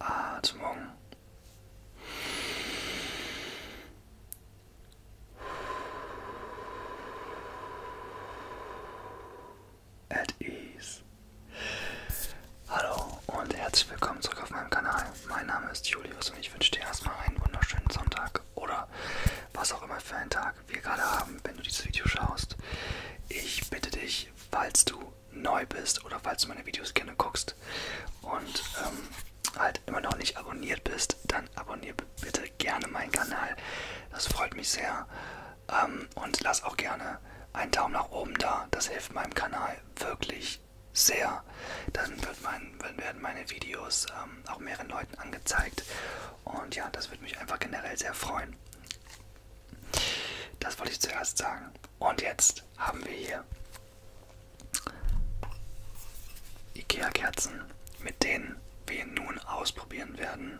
Atmung. Ah, At ease. Hallo und herzlich willkommen zurück auf meinem Kanal. Mein Name ist Julius und ich wünsche dir erstmal einen wunderschönen Sonntag oder was auch immer für einen Tag wir gerade haben, wenn du dieses Video schaust. Ich bitte dich, falls du neu bist oder falls du meine Videos gerne guckst und ähm, halt immer noch nicht abonniert bist, dann abonniere bitte gerne meinen Kanal. Das freut mich sehr. Ähm, und lass auch gerne einen Daumen nach oben da. Das hilft meinem Kanal wirklich sehr. Dann wird mein, werden meine Videos ähm, auch mehreren Leuten angezeigt und ja, das würde mich einfach generell sehr freuen. Das wollte ich zuerst sagen. Und jetzt haben wir hier IKEA-Kerzen, mit denen wir nun ausprobieren werden,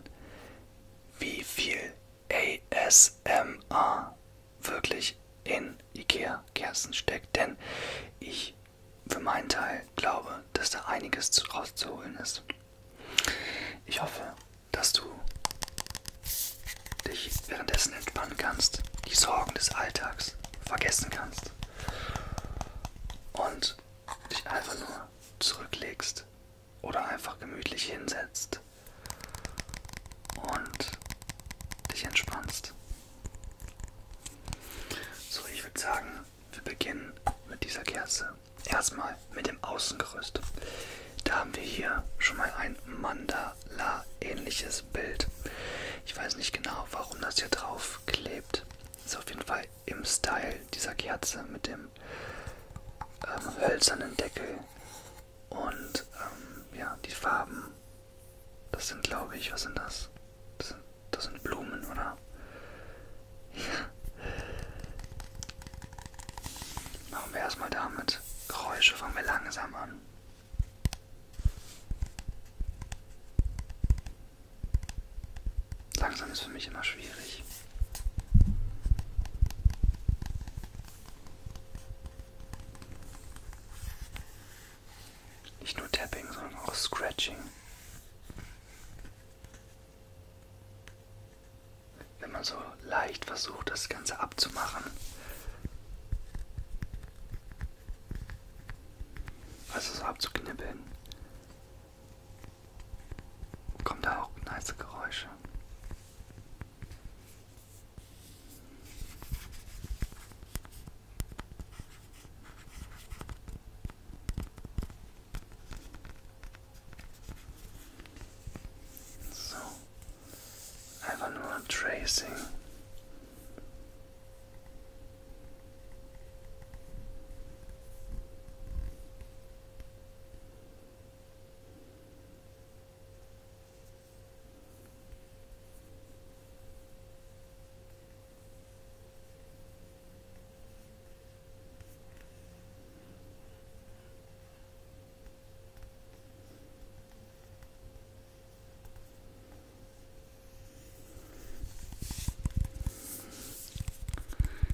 wie viel ASMR wirklich in IKEA-Kerzen steckt. Denn ich für meinen Teil glaube, dass da einiges rauszuholen ist. Ich hoffe, dass du dich währenddessen entspannen kannst, die Sorgen des Alltags vergessen kannst und dich einfach nur zurücklegst oder einfach gemütlich hinsetzt und dich entspannst. So, ich würde sagen, wir beginnen mit dieser Kerze. Erstmal mit dem Außengerüst. Da haben wir hier schon mal ein Mandala-ähnliches Bild. Ich weiß nicht genau, warum das hier drauf klebt. Ist auf jeden Fall im Style dieser Kerze mit dem ähm, hölzernen Deckel. Und ähm, ja, die Farben. Das sind, glaube ich, was sind das? Das sind das sind Blumen, oder? Ja. Machen wir erstmal damit. Geräusche fangen wir langsam an. Langsam ist für mich immer schwierig. Nicht nur Tapping, sondern auch Scratching wenn man so leicht versucht, das Ganze abzumachen. Also so abzuknibbeln. Kommen da auch nice Geräusche. So I have another tracing.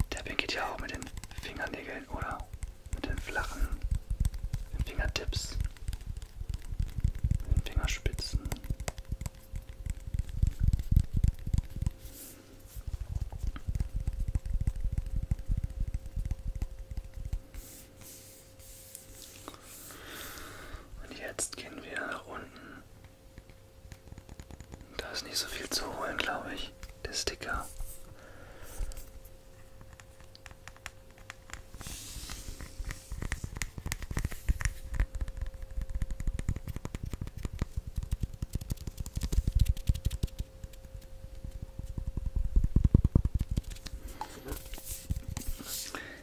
Tapping geht ja auch mit den Fingernägeln oder mit den flachen den Fingertips, mit den Fingerspitzen. Und jetzt gehen wir nach unten. Da ist nicht so viel zu holen, glaube ich. Der Sticker.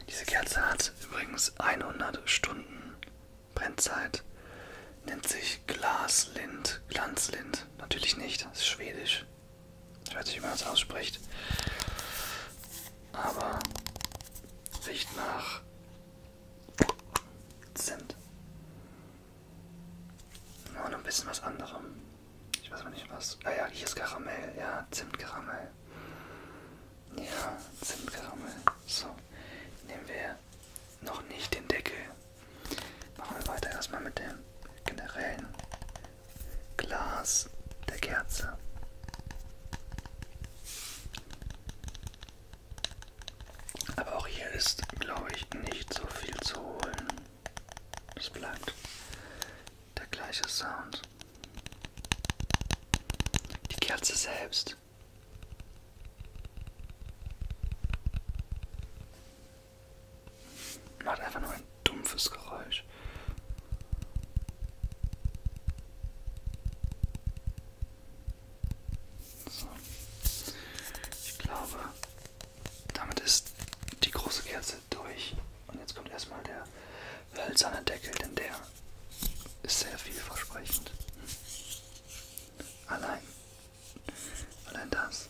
Diese Kerze hat übrigens 100 Stunden Brennzeit. Nennt sich Glaslint. Glanzlind. Natürlich nicht, das ist schwedisch. Ich weiß nicht, wie man das ausspricht. Aber riecht nach Zimt. Nur noch ein bisschen was anderem. Ich weiß aber nicht was. Ah ja, hier ist Karamell. Ja, Zimtkaramell. Ja, Zimtkaramell. So, nehmen wir noch nicht den Deckel. Machen wir weiter erstmal mit dem generellen Glas der Kerze. Aber auch hier ist, glaube ich, nicht so viel zu holen. Es bleibt der gleiche Sound. Die Kerze selbst. Macht einfach nur ein dumpfes Geräusch. So. Ich glaube, damit ist die große Kerze durch. Und jetzt kommt erstmal der hölzerne Deckel, denn der ist sehr vielversprechend. Allein. Allein das.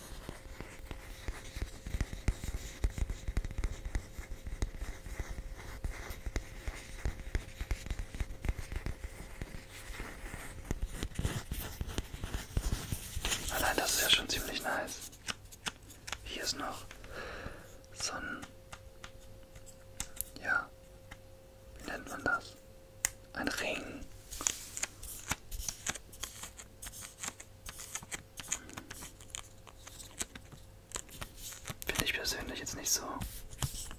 Allein das ist ja schon ziemlich nice. Hier ist noch so ein, ja, wie nennt man das? Ein Ring. Finde ich persönlich jetzt nicht so.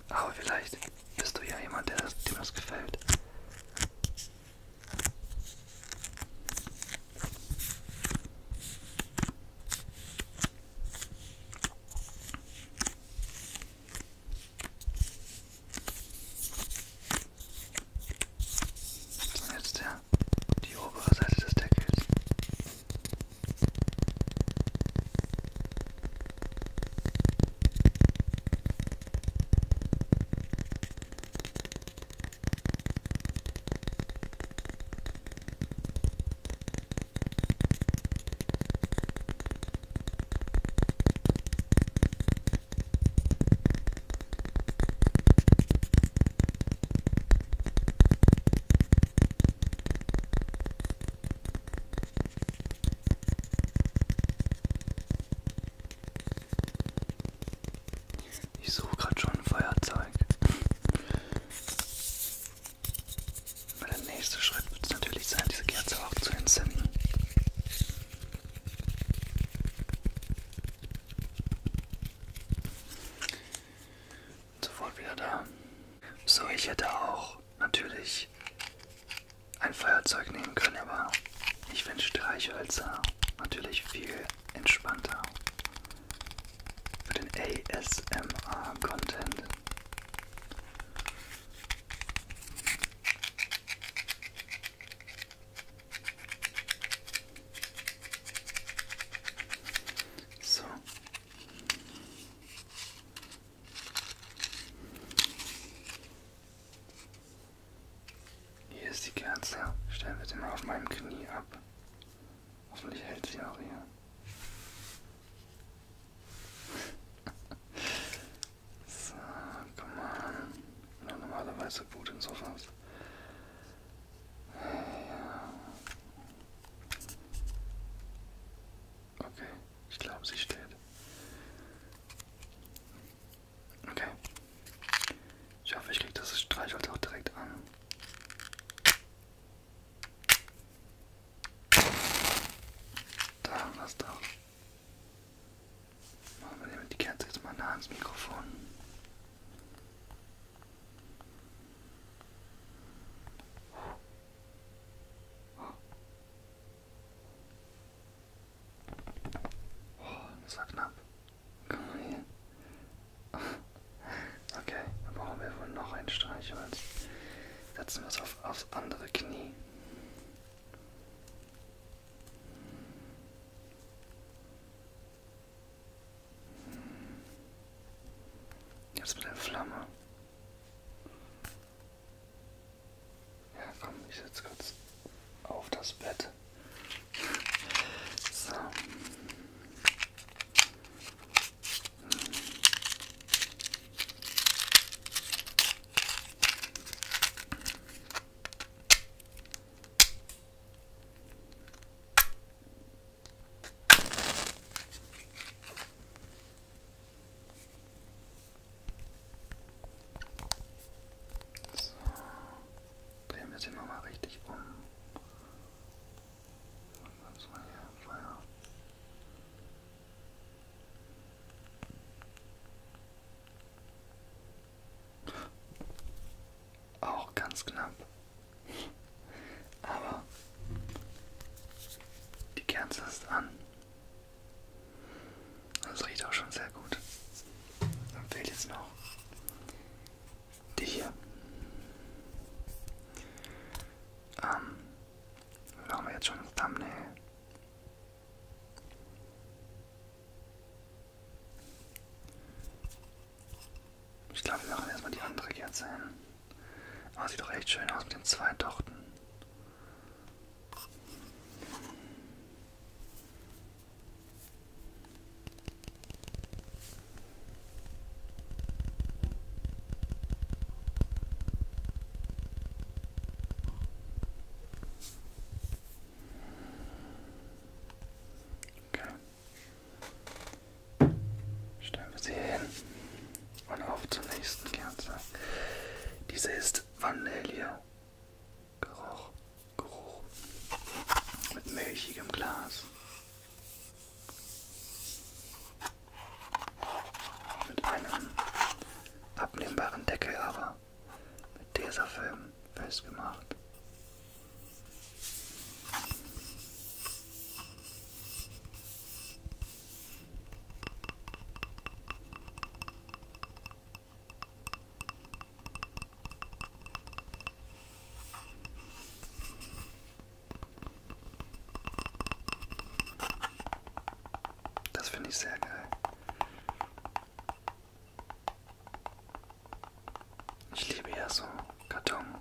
Aber vielleicht bist du ja jemand, der das, dem das gefällt. Und jetzt der, die obere Seite des Deckels. Ich suche gerade schon ein Feuerzeug. Weil der nächste Schritt wird es natürlich sein, diese Kerze auch zu entzünden. Sofort wieder da. So, ich hätte auch natürlich ein Feuerzeug nehmen können, aber ich finde Streichhölzer natürlich viel entspannter für den ASMR-Content. So. Hier ist die Kerze. Stellen wir sie mal auf meinem Knie ab. Hoffentlich hält sie auch hier. So, komm mal. Ich bin normalerweise gut in sowas. Ja. Okay, ich glaube, sie steht. Okay. Ich hoffe, ich kriege das Streichholz auch direkt an. Da haben wir es doch. Machen wir die Kerze jetzt mal nah ans Mikrofon. Oh, das war knapp. Komm mal hier. Okay, dann brauchen wir wohl noch ein Streichholz. Setzen wir es auf, aufs andere Knie. Jetzt mit der Flamme. Ja, komm, ich setze kurz auf das Bett. So. Hm. So, drehen wir es immer mal richtig um. Was mal hier? Feuer. Auch ganz knapp. Aber die Kerze ist an. Das riecht auch schon sehr gut. Dann fehlt jetzt noch die hier. Ähm, machen wir jetzt schon das Thumbnail. Ich glaube, wir machen erstmal die andere Kerze hin. Aber sieht doch echt schön aus mit den zwei Tochten. Okay. Stellen wir sie hin. Und auf zur nächsten Kerze. Diese ist Vanille. Geruch. Geruch. Mit milchigem Glas. Mit einem abnehmbaren Deckel aber. Jahr mit Tesafilm festgemacht. Das finde ich sehr geil. Ich liebe ja so Karton-Tapping.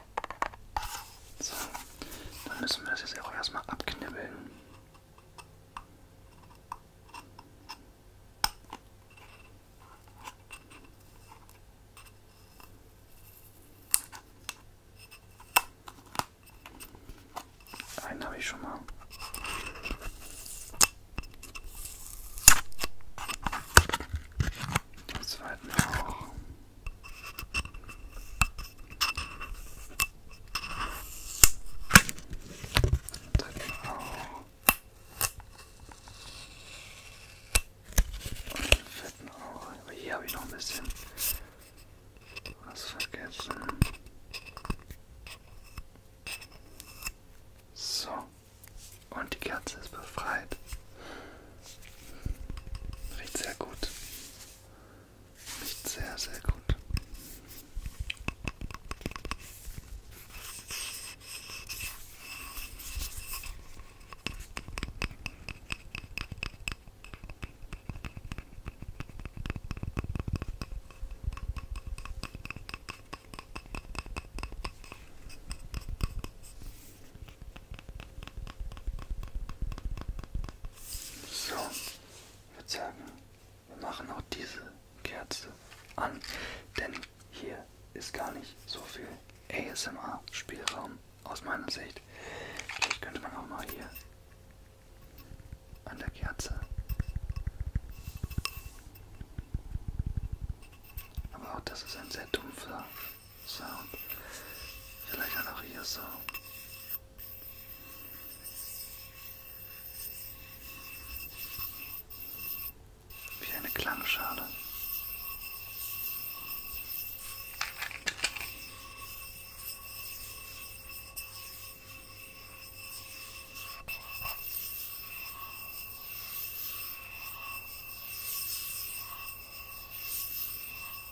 So, dann müssen wir das jetzt auch erstmal abknibbeln. Einen habe ich schon mal. Den zweiten auch. Dritten Auge. Und den vierten Auge. Aber hier habe ich noch ein bisschen was vergessen. So. Und die Kerze ist befreit. Riecht sehr gut. Riecht sehr, sehr gut. So, ich würde sagen, wir machen auch diese Kerze an, denn hier ist gar nicht so viel ASMR-Spielraum aus meiner Sicht. Vielleicht könnte man auch mal hier an der Kerze. Aber auch das ist ein sehr dumpfer Sound. Vielleicht auch noch hier so. Wie eine Klangschale.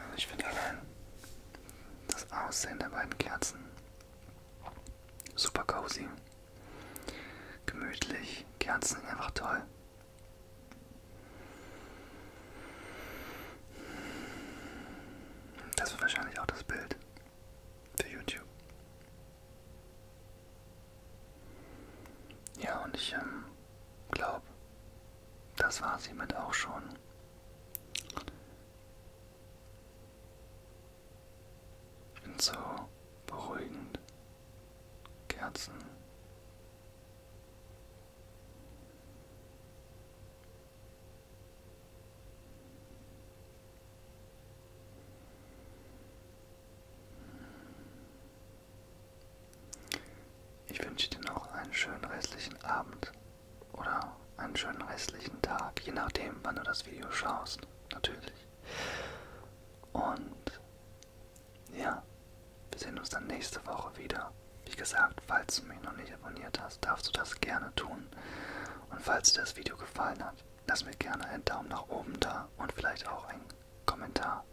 Also ich finde allein das Aussehen der beiden Kerzen super cozy. Gemütlich, Kerzen sind einfach toll. Das wird wahrscheinlich auch das Bild für YouTube. Ja, und ich ähm, glaube, das war es hiermit auch schon. Ich finde so beruhigend. Kerzen. Ich wünsche dir noch einen schönen restlichen Abend oder einen schönen restlichen Tag, je nachdem, wann du das Video schaust, natürlich. Und ja, wir sehen uns dann nächste Woche wieder. Wie gesagt, falls du mich noch nicht abonniert hast, darfst du das gerne tun. Und falls dir das Video gefallen hat, lass mir gerne einen Daumen nach oben da und vielleicht auch einen Kommentar.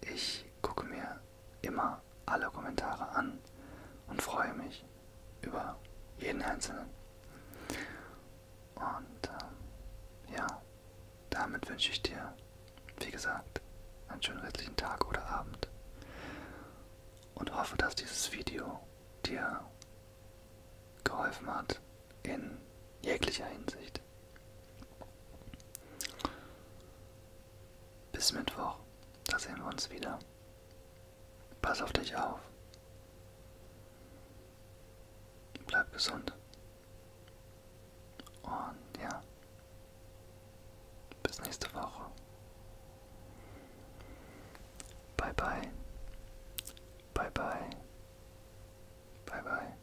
Ich gucke mir immer alle Kommentare an und freue mich über jeden einzelnen. Und ähm, ja, damit wünsche ich dir, wie gesagt, einen schönen restlichen Tag oder Abend. Und hoffe, dass dieses Video dir geholfen hat in jeglicher Hinsicht. Bis Mittwoch, da sehen wir uns wieder. Pass auf dich auf. Bleib gesund. Und ja, bis nächste Woche. Bye bye. Bye bye. Bye bye.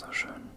So schön.